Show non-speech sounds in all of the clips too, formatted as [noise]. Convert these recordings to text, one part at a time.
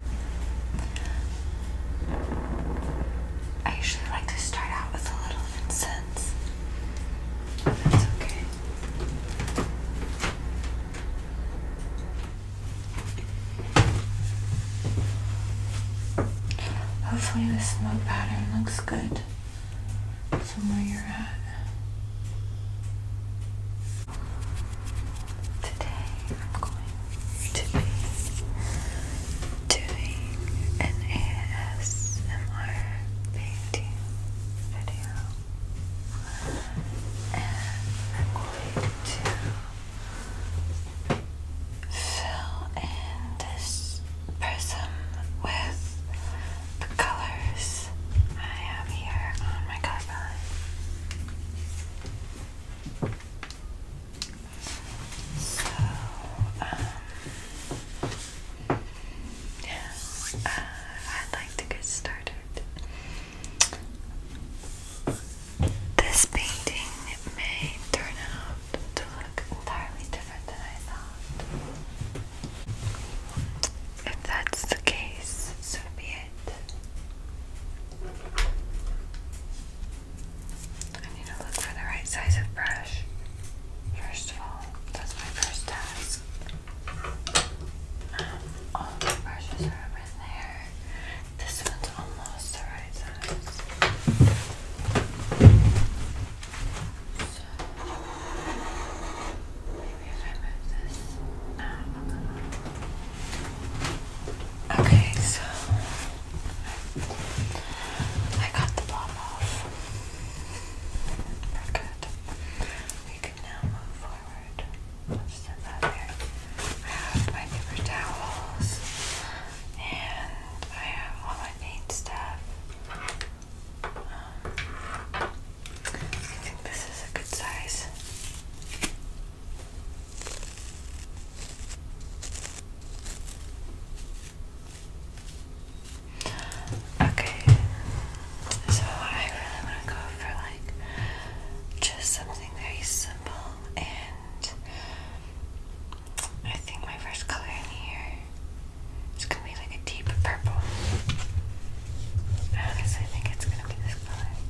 I usually like to start out with a little incense. That's okay. Hopefully, the smoke pattern looks good from where you're at. Today I'm going to be doing an ASMR painting video and I'm going to fill in this prism with the colors I have here on my color so, um, yeah, I'd like to get started. This painting may turn out to look entirely different than I thought. If that's the case, so be it. I need to look for the right size of brush. First of all, that's my first task. Um, all the brushes are over there. This one's almost the right size. maybe if I move this uh, Okay, so I got the bomb off. We're good. We can now move forward. I have my paper towels and I have all my paint stuff. Um, I think this is a good size. Okay, so I really want to go for like just something very simple, and I think my first color in here is gonna be like a deep purple. I honestly think it's gonna be this color.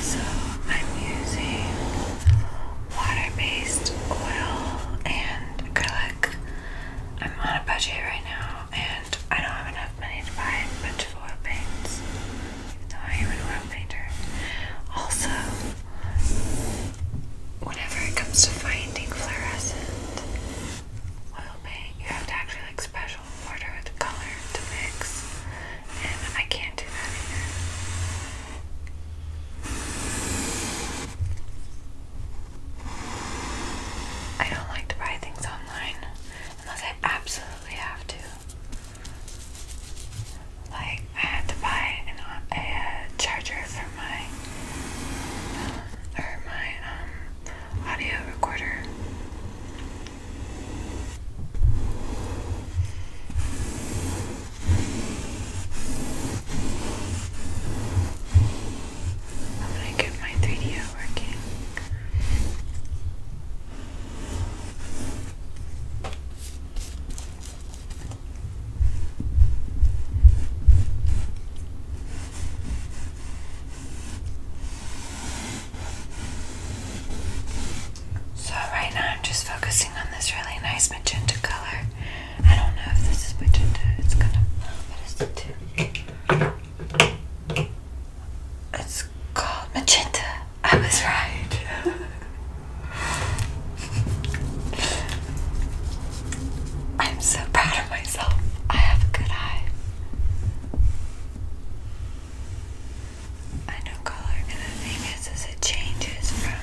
So I'm using water-based oil and acrylic. I'm on a budget right now and I don't have enough money to buy a bunch of oil paints. Even though I am an oil painter. Also, whenever it comes to finding fluorescent oil paint, you have to actually like special order the color to mix. I can't do that either. I don't like to buy things online unless I absolutely have to. Like, I had to buy a, charger for my um, or my um, audio recorder I'm gonna get my 3D out working. Okay. So right now I'm just focusing on this really nice magenta color. I don't know if this is magenta. It's kind of what is it? It's called magenta. I was right. [laughs] I'm so proud of myself. I have a good eye. I know color, and the thing is, is it changes from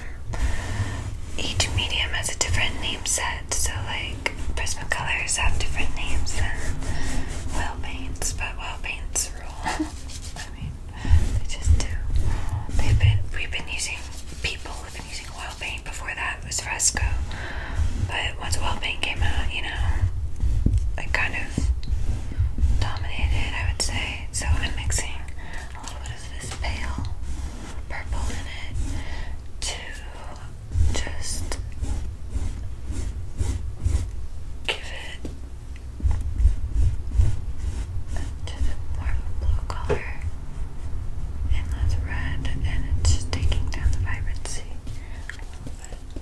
each medium has a different name set. So like Prismacolors have different names than oil paints, but oil paints rule. [laughs] I mean, they just do. They've been we've been using people have been using oil paint. Before that was fresco, but once oil paint came out, you know, it kind of dominated. I would say so I'm mixing a little bit of this pale purple in it to just give it a little more of blue color. And that's red, and it's just taking down the vibrancy a little bit.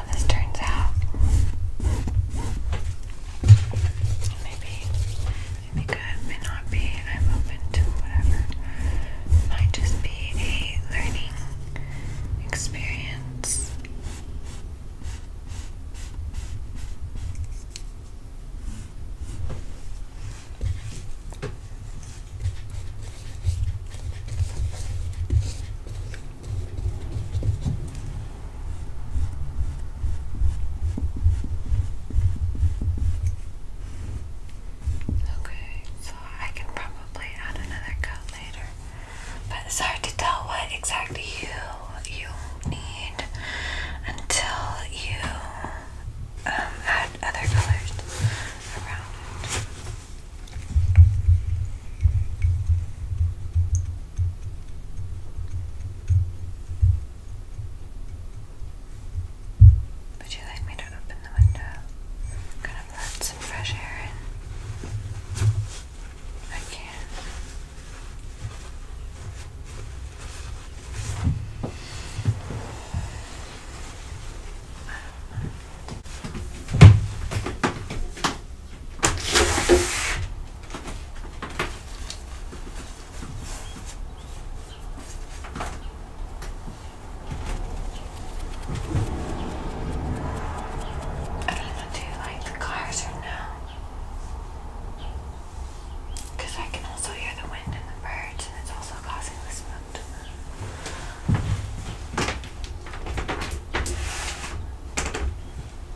how this turns out. Maybe, maybe good, may not be. I'm open to whatever. Might just be a learning experience. Okay, so I can probably add another coat later. But it's hard to tell what exactly you you need until you um, add other colors around it. Would you like me to open the window? I'm let some fresh air in. I can. I don't know, do you like the cars or no? Because I can also hear the wind and the birds, and it's also causing the smoke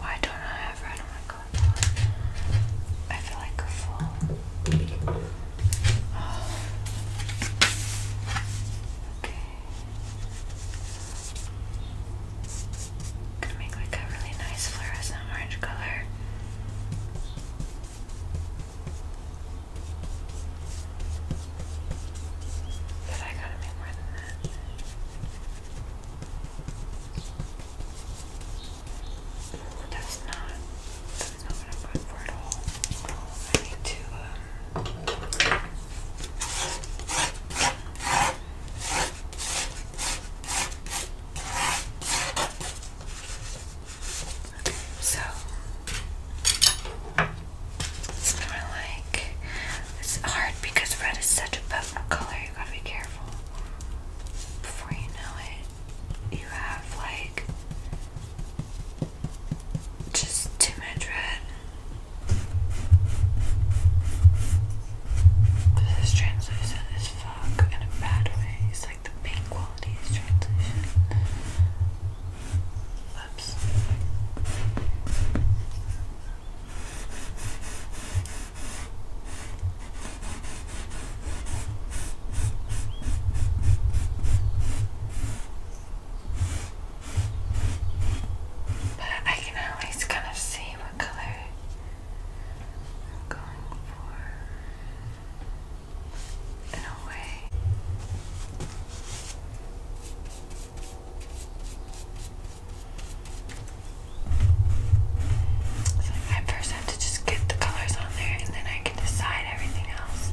Why don't I have red on my cardboard? I feel like a fool. Oh. Okay. gonna make like a really nice fluorescent orange color. But I gotta make more than that. That's not that's not what I'm for at all. I need to um so it's kind of like it's hard because red is such a potent color, you gotta be careful before you know it, you have like just too This is translucent as fuck in a bad way. It's like the pink quality is translucent. Oops. But I can always kind of see what color I'm going for in a way. I first have to just get the colors on there and then I can decide everything else.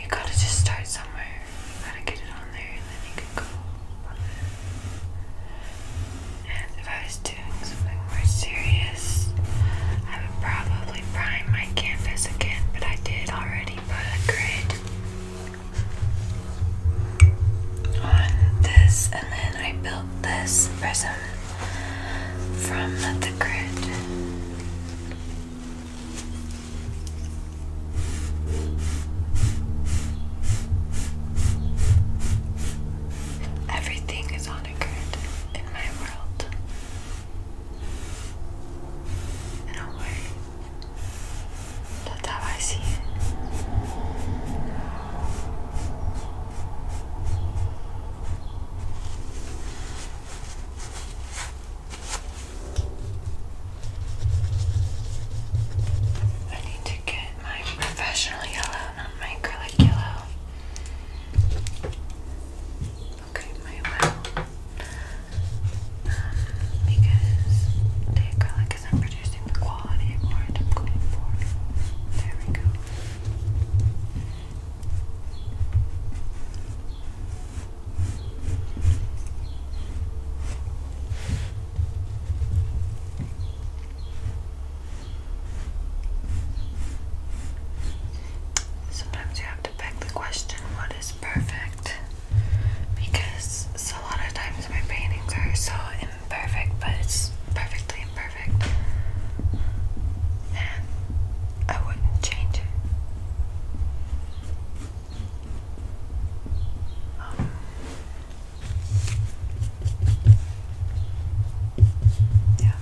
you gotta just start somewhere. You gotta get it on there and then you can go And if I was doing something more serious, I would probably prime my canvas again, but I did already put a grid on this and then I built this prism from the grid. Everything is on a grid in my world. In a way, that's how I see it. I need to get my professional yellow, not my acrylic yellow. Okay, my well. Um, because the acrylic isn't producing the quality I'm going for. There we go. Sometimes you have to beg the question, what is perfect? Because a lot of times my paintings are so Perfect, but it's perfectly imperfect. And I wouldn't change it. Um, yeah.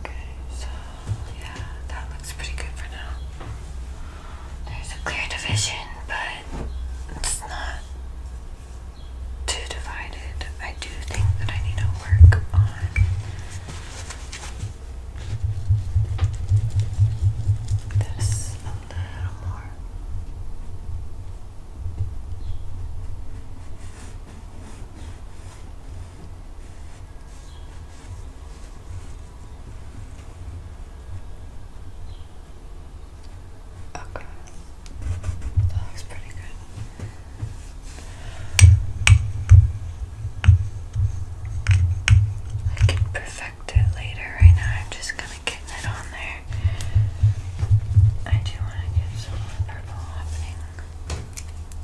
Okay, so yeah, that looks pretty good for now. There's a clear division, but it's not too divided. I do think that I need to work on this a little more. Okay. That looks pretty good. I can perfect it later. Right now, I'm just kind of getting it on there. I do want to get some purple happening.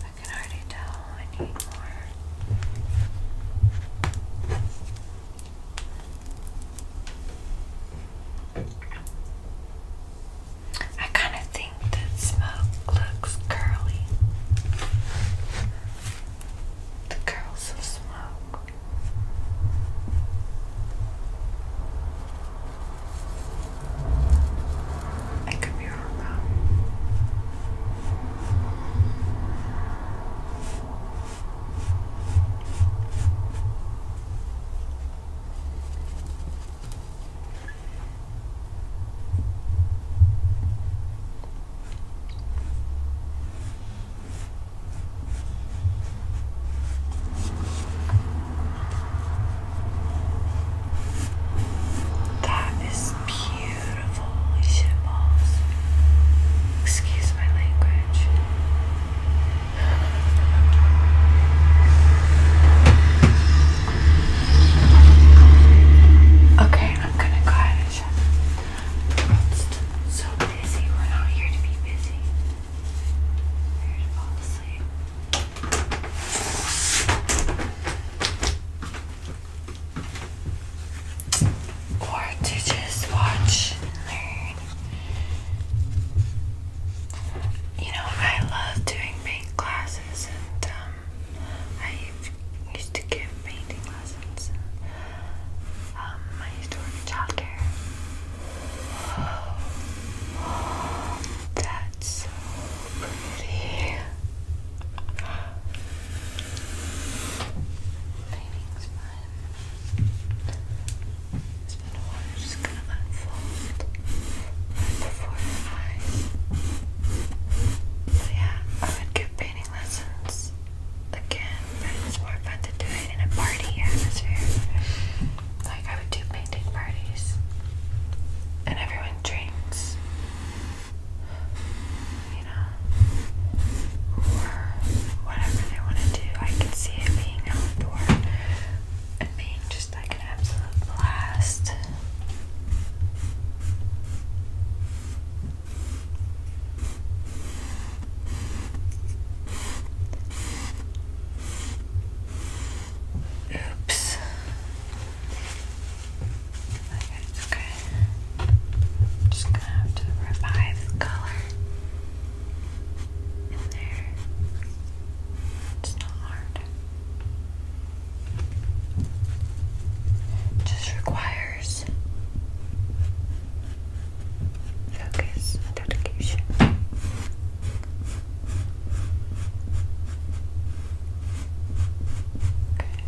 I can already tell I need more. I kind of think that smoke looks curly. The curls of smoke. I could be wrong. That is beautiful, Alicia Excuse my language. Okay, I'm gonna go ahead and shut so busy. We're not here to be busy. here to fall asleep. Or to just watch learn. You know, I love doing paint classes, and um, I used to give painting lessons. Um, I used to work in childcare. that's so Painting's fun. So the water is just gonna unfold right before So yeah, I would give painting lessons again, it's more fun to do it in a party atmosphere. Like I would do painting parties, and everyone drinks. You know, or whatever they want to do. I can see it being outdoor and being just just like an absolute blast. Oops. Okay, it's okay. just gonna have to revive the color in there. It's not hard. just requires focus and dedication. Okay.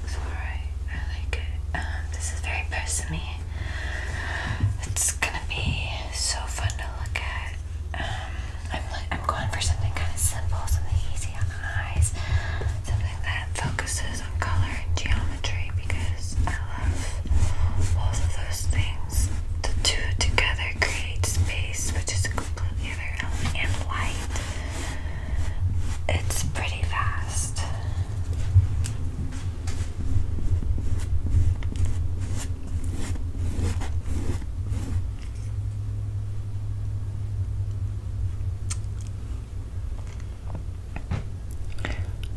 looks alright. I like it. Um, this is very personal is gonna be so fun to look at. Um, I'm I'm going for something kind of simple, something easy on eyes, something that focuses on color and geometry because I love both of those things. The two together create space, which is a completely other element, and light. It's pretty fast.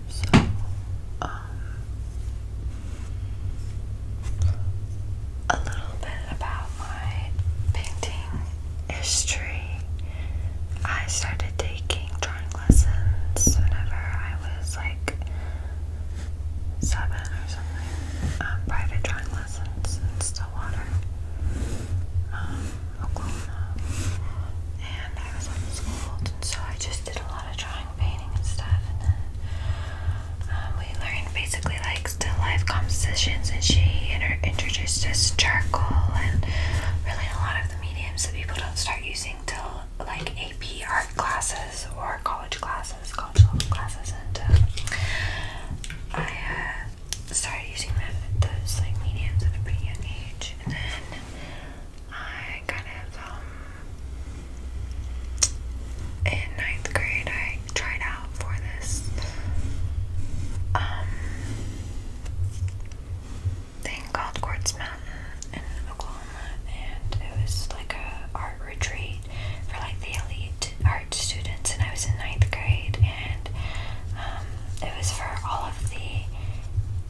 So, um, a little bit about my painting history. I started taking drawing lessons whenever I was like seven or something. Um, private drawing lessons in Stillwater, um, Oklahoma. And I was homeschooled, and so I just did a lot of drawing, painting, and stuff. And then um, we learned basically like still life compositions, and she inter introduced us to charcoal and really a lot of the mediums that people don't start using till like AP art classes or college classes, college level classes, and um, uh, I started using that, those like mediums at a pretty young age, and then I kind of um in ninth grade I tried out for this um thing called Quartz Mountain in Oklahoma and it was like a art retreat for like the elite art students and I was in ninth grade and um, it was for all of the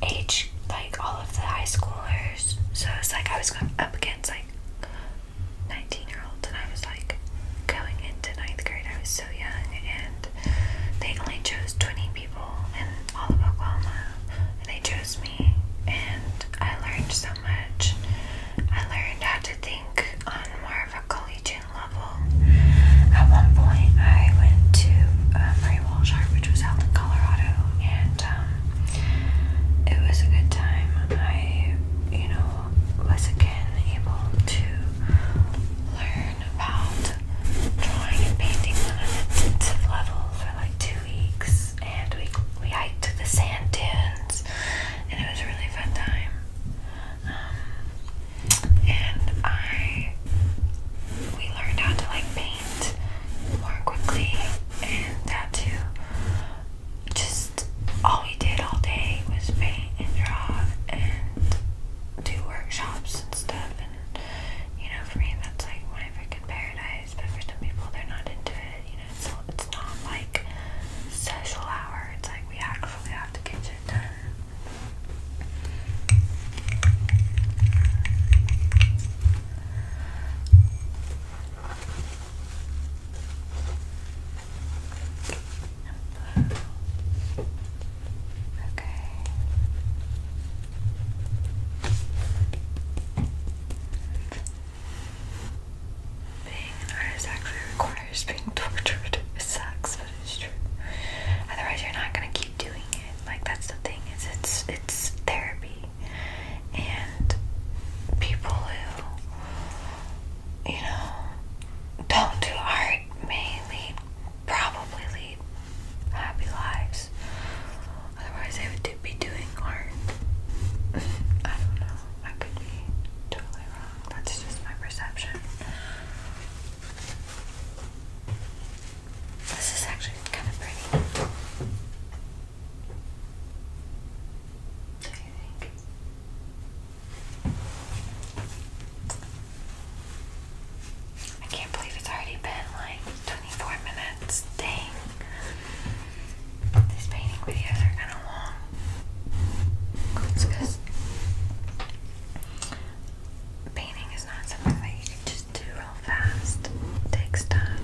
age like all of the high schoolers so it's like I was going up against like 19 year olds and I was like going into ninth grade I was so young and they only chose 20 people in all of Oklahoma and they chose me and I learned so much. I learned how to think on more of a collegiate level. At one point, I went to Mary uh, Murray which was held in Colorado, and um, it was a good time. I, you know, was again able to learn about drawing and painting on an intensive level for like two weeks and we we hiked to the sand dunes and it was a really fun time. Um, and I we learned how to like paint more quickly and how to just all we did all day was paint and draw and do workshops and stuff and you know for me that's like my freaking paradise is, but for some people they're not into it. You know, it's it's not like social hour. It's like we actually have to get shit Okay. Being an artist actually requires being tortured. It sucks, but it's true. Otherwise, you're not gonna keep doing it. Like that's the thing. Is it's it's therapy, and people who you know don't do art may lead, probably lead happy lives. Otherwise, they would to be doing art. [laughs] I don't know. I could be totally wrong. That's just my perception. This is actually kind of pretty. Do you think? I can't believe it's already been like 24 minutes. Dang. These painting videos are kind of long. It's because painting is not something that you can just do real fast. takes time.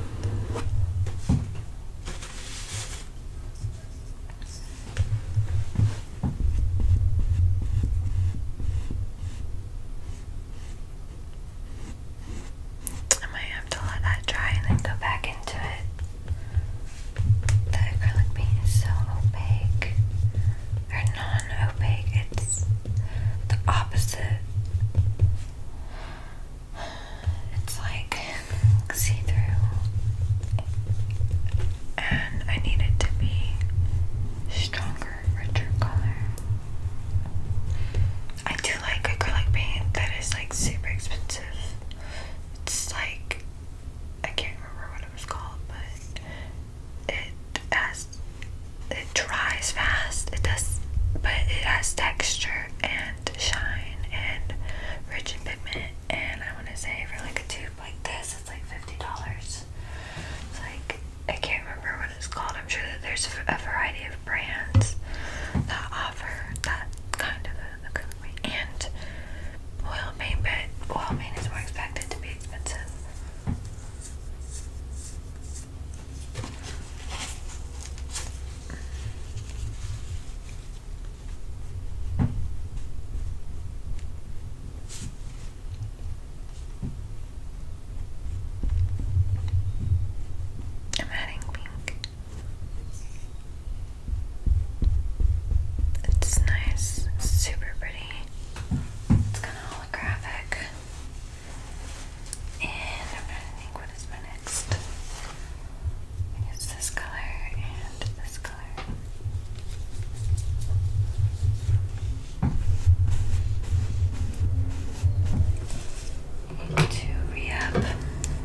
I might have to let that dry and then go back into it. The acrylic paint is so opaque. Or non opaque, it's the opposite. It's like see through. And I need it to be stronger, richer color. I do like acrylic paint that is like super expensive. It's like I can't remember what it was called, but it has it dries fast. It does, but it has texture and shine and rich in pigment. And I want to say for like a tube like this, it's like fifty dollars. It's like I can't remember what it's called. I'm sure that there's a variety of of brands that offer that kind of a, and oil paint, but oil paint is more expected to be expensive. I'm adding pink. It's nice, super pretty. It's kind of holographic. And I'm trying to what is my next. It's this color and this color. need to re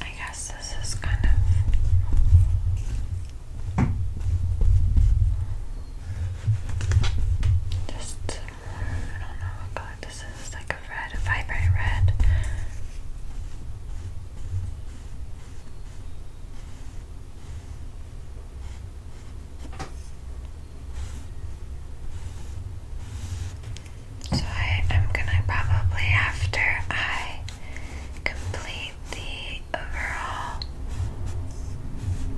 I guess this is kind of just I don't know what color this is, like a red, a vibrant red. So I am gonna probably after I complete the overall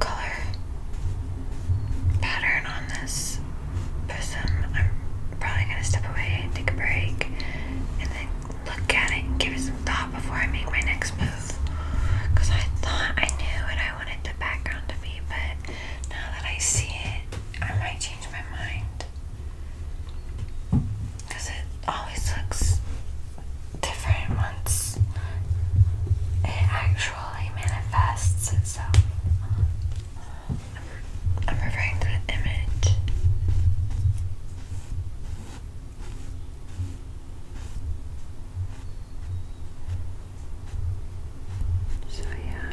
color pattern on this prism, I'm probably gonna step away, take a break, and then look at it and give it some thought before I make my next move. Cause I thought I knew what I wanted the background to be, but now that I see it, I might change my mind. Because it always looks different once it actually manifests itself. I'm referring to the image. So, yeah.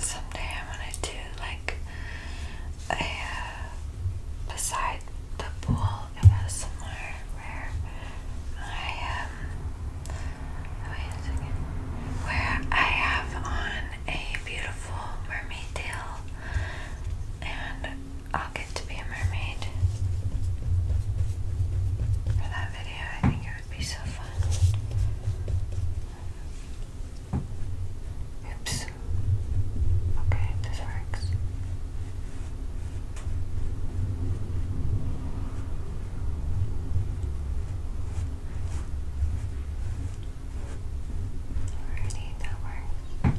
Someday I going to do like a uh, beside the pool. It was somewhere where I um wait a second. Where I have on a beautiful mermaid tail and I'll get to be a mermaid. For that video, I think it would be so fun. Oops. Okay, this works. Alrighty, that works.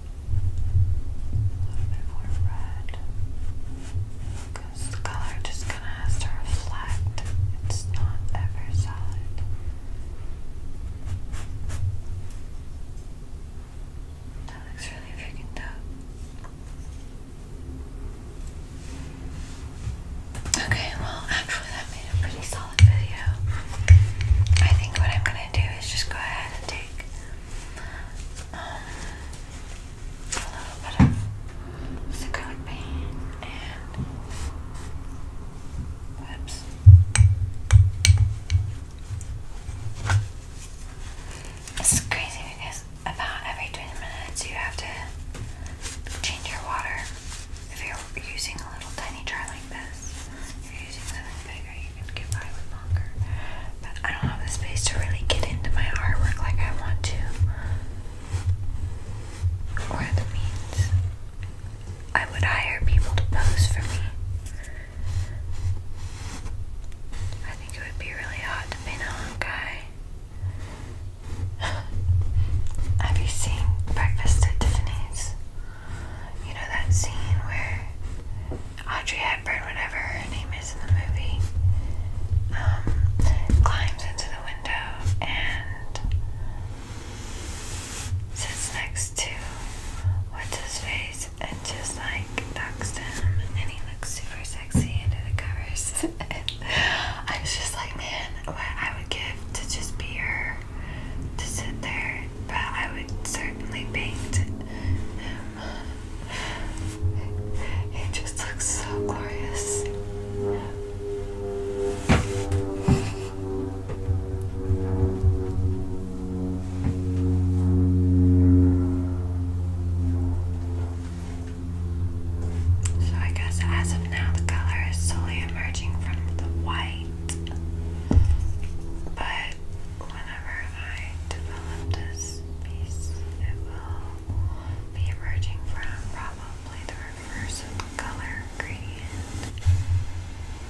a little bit more red. Because the color just kind of has to reflect. It's not ever solid. That looks really freaking dope. Okay, well, actually, that made a pretty solid video. I think what I'm gonna do is just go ahead and take um, a little bit of acrylic paint whoops. It's crazy because about every 20 minutes you have to change your water if you're using a little tiny jar like this. If you're using something big know you can get by with longer. But I don't have the space to really get into my artwork like I want to. Or the means. I would hire people to pose for me. I think it would be really hot to paint a long guy. [laughs] Have you seen Breakfast at Tiffany's? You know that scene where Audrey Hepburn, whatever her name is in the movie, um, climbs into the window and sits next to what's his face and just like talks him and he looks super sexy under the covers. [laughs] I was just like, man, what I would give to just be her to sit there, but I would certainly paint it just looks so glorious. So, I guess as of now, the color is slowly emerging from the white, but whenever I develop this piece, it will be emerging from probably the reverse color gradient.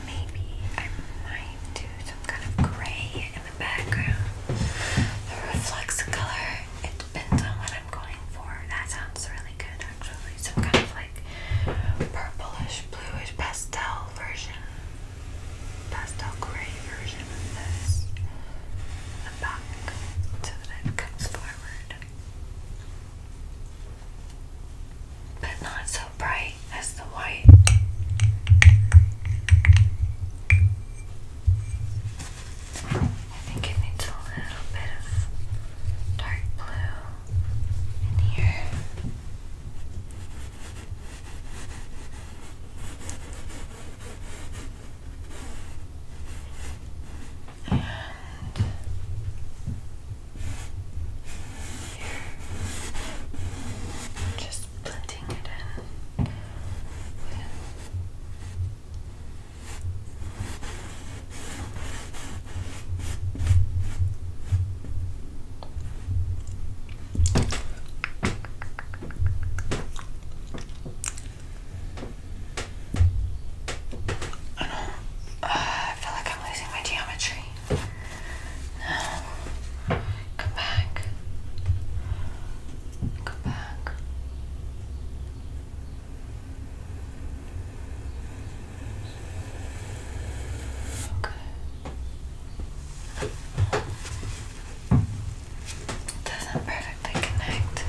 Maybe I might do some kind of gray in the background that reflects color. It depends on what I'm going for. That sounds really good actually. Some kind of like purplish, bluish pastel version pastel grey version of this. The back so that it comes forward. But not so bright as the white. I think it needs a little bit of dark blue in here. And here, just blending it in with I know. I feel like I'm losing my geometry. No. Come back. Come back. Okay. It Doesn't perfectly connect.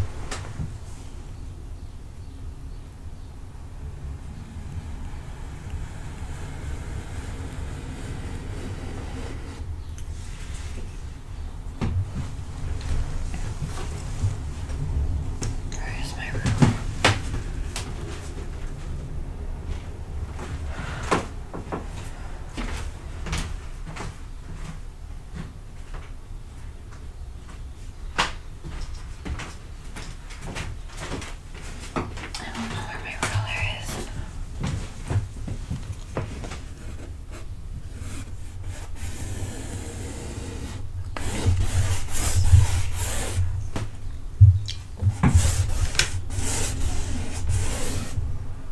Where is my room? I don't know where my roller is.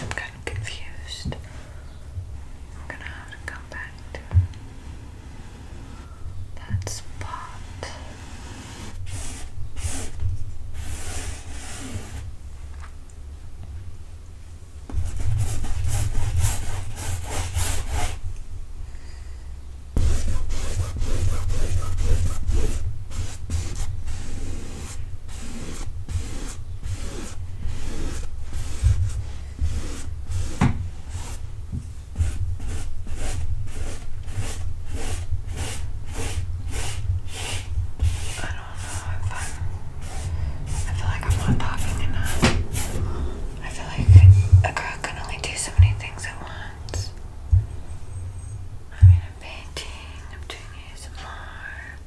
I'm kind of confused. I'm gonna have to come back to that spot. I don't know if I'm, I feel like I'm not talking enough. I feel like a girl can only do so many things at once. I mean, I'm painting, I'm doing ASMR.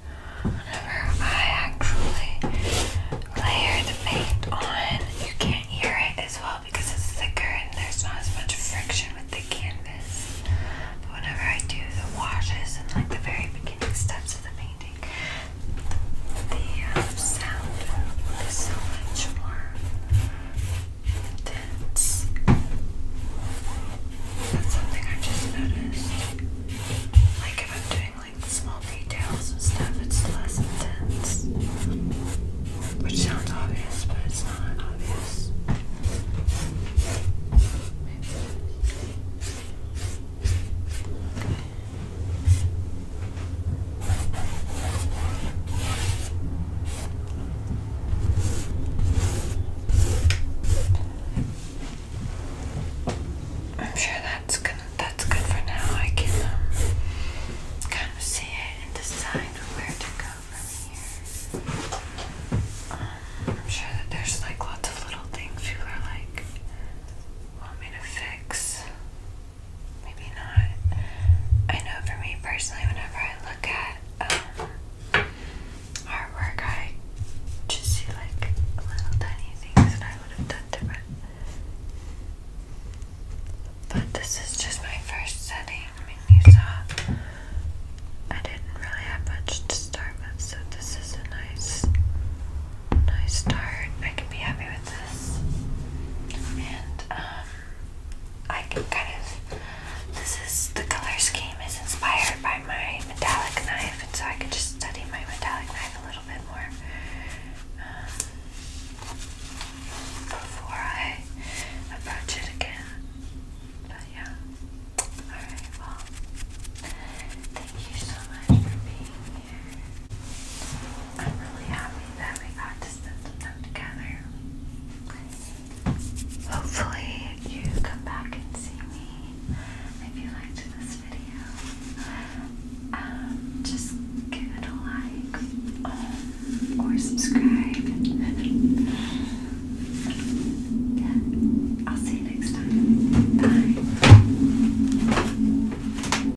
Whenever I actually layer the paint on, you can't hear it as well because it's thicker and there's not as much friction with the canvas. But whenever I do the washes and like the very beginning steps of the painting, the uh, sound is so much more intense. That's something I just noticed. Like if I'm doing like small details and stuff, it's less intense. Which sounds obvious, but it's not obvious. Maybe. I'm sure that's gonna that's good for now. I can um, kind of see it and decide where to go from here. Um, I'm sure that there's like lots of little things people are like want me to fix maybe not. I know for me personally, whenever I look at um, artwork, I just see like little tiny things that I would have done different. But this is just my first setting. I mean, you saw I didn't really have much to start with, so this is a nice, nice start. I could be happy with and um I can kind of this is the color scheme is inspired by my metallic knife and so I could just study my metallic knife a little bit more um, before I approach it again. But yeah. Alright, well thank you so much for being I'm really happy that we got to spend time together. Hopefully, you come back and see me if you liked this video. Um, just give it a like um, or subscribe. I'll see you next time. Bye.